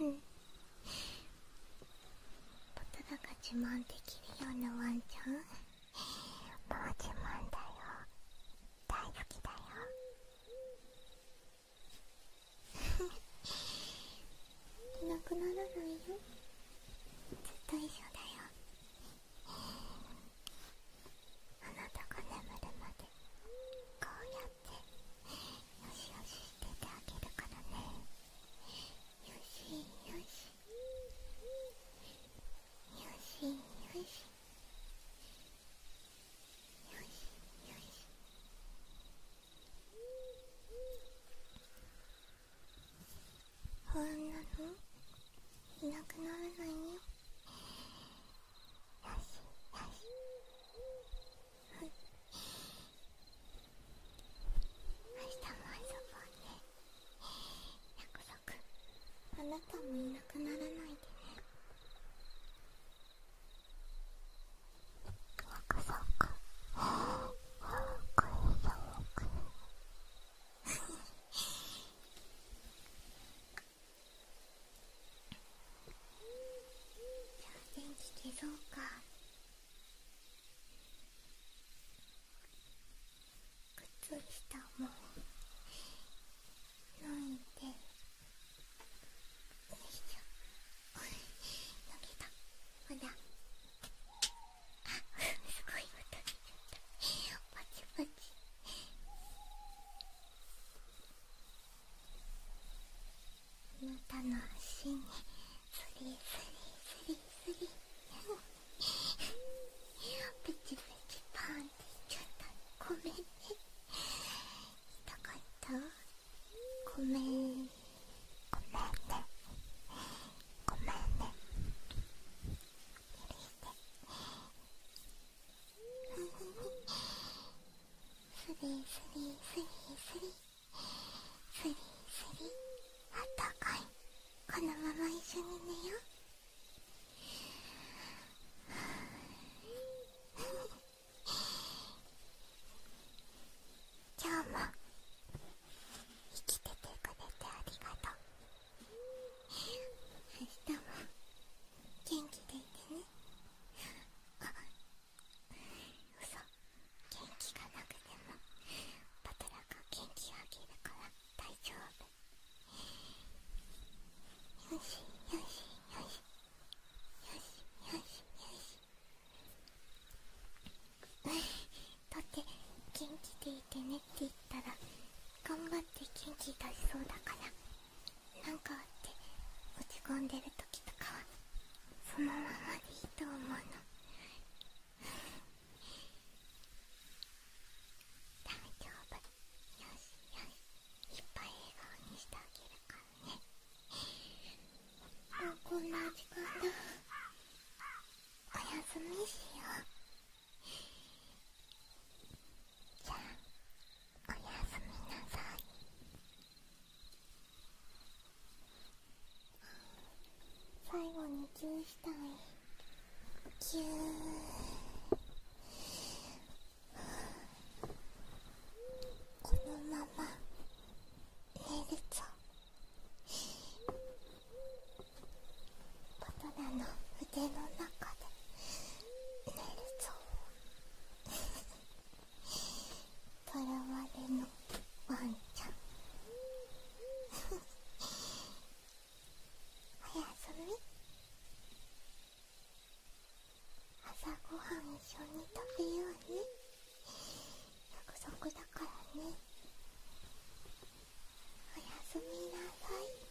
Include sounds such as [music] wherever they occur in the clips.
うんパトラが自慢できるようなワンちゃんもう自慢だよ大好きだよいな [laughs] くならないよずっと一緒だよあなたが眠るまでこうやってよしよししててあげるからねよしよしよしよしよしよしほんなのいなくならないよ…よよし、し…明日もあなたもいなくならないでねそうかそうかこれそうじゃあ電気消そうか靴下も脱いでよいしょ脱げたほらあすごい音出ちゃったパチパチ。あなたの足にスリスリスリスリプチプチパーンっていっちゃったごめんね痛かったごめんごめんねごめんね許してスリスリスリスリスリスリあったかいこのまま一緒に寝よう今日も生きててくれてありがとう明日も元気でいてね嘘元気がなくてもパト元気あげるから大丈夫よしよしよしよしよしよしだって元気でいてねって言ったら頑張って元気出しそうだから。なんかあって落ち込んでる時とかはそのままでいいと思うの大丈夫よしよしいっぱい笑顔にしてあげるからねもうこんな時間だおやすみしようじゃあおやすみなさい最後にキューしたいキューこのまま寝るぞバトの腕の中で寝るぞ。とらわれのワンちゃんおやすみ朝ごはん一緒に食べようね約束だからねおやすみなさい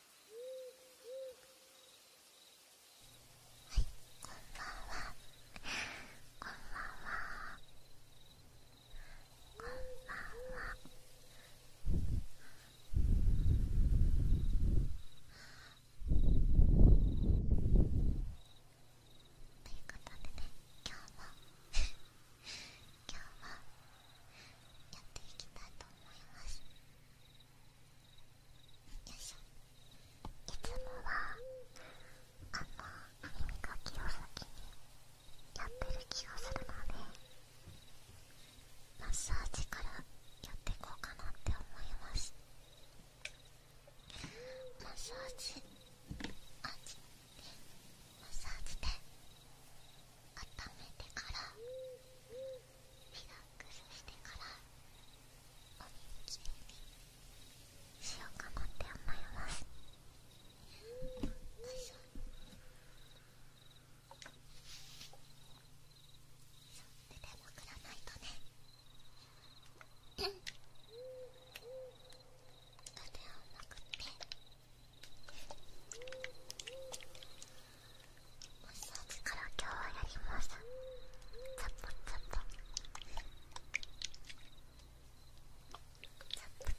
はいこんばんはこんばんはこんばんはということでね今日も今日もやっていきたいと思います。いつもはあの歯磨きを先にやってる気がするのでマッサージからやっていこうかなって思いますマッサージマッサージで温めてからリラックスしてからお耳きいにしようかなって思いますよいしょ手でもくらないとね腕をまくって。マッサージから今日はやりますザポザポザポザポ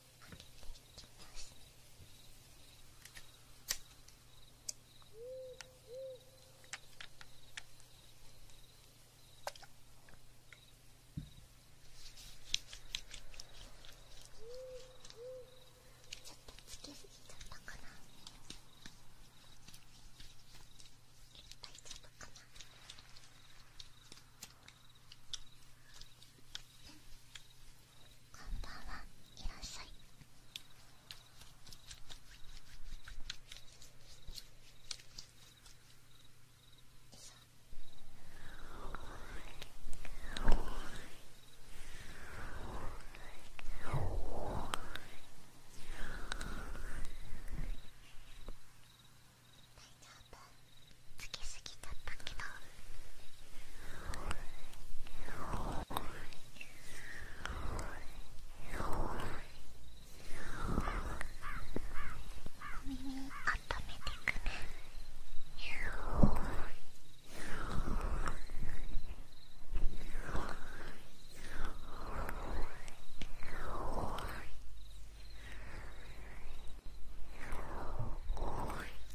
かけていきます。ちょっとつけすぎちゃったかな。いっぱかな。こんばんはいらっしゃい大丈夫つけすぎちゃったけどお耳温めてく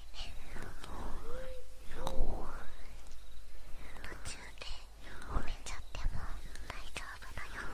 途中で寝ちゃっても大丈夫だよ「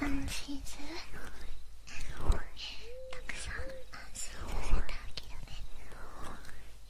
安心するたくさん安心させあげるね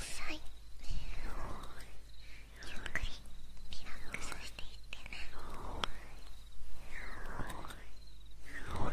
さいゆっくりリラックスしていってねあとあと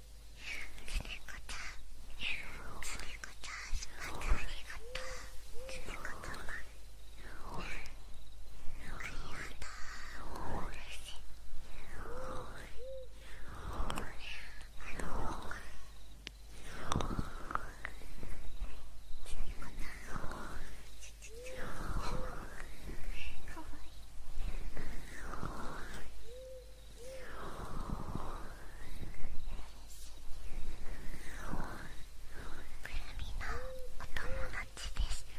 つりこちゃんつりこちゃんっありがとうつりこちゃんありがとう嬉しいあのつりこちゃんかわいい。のお友達です「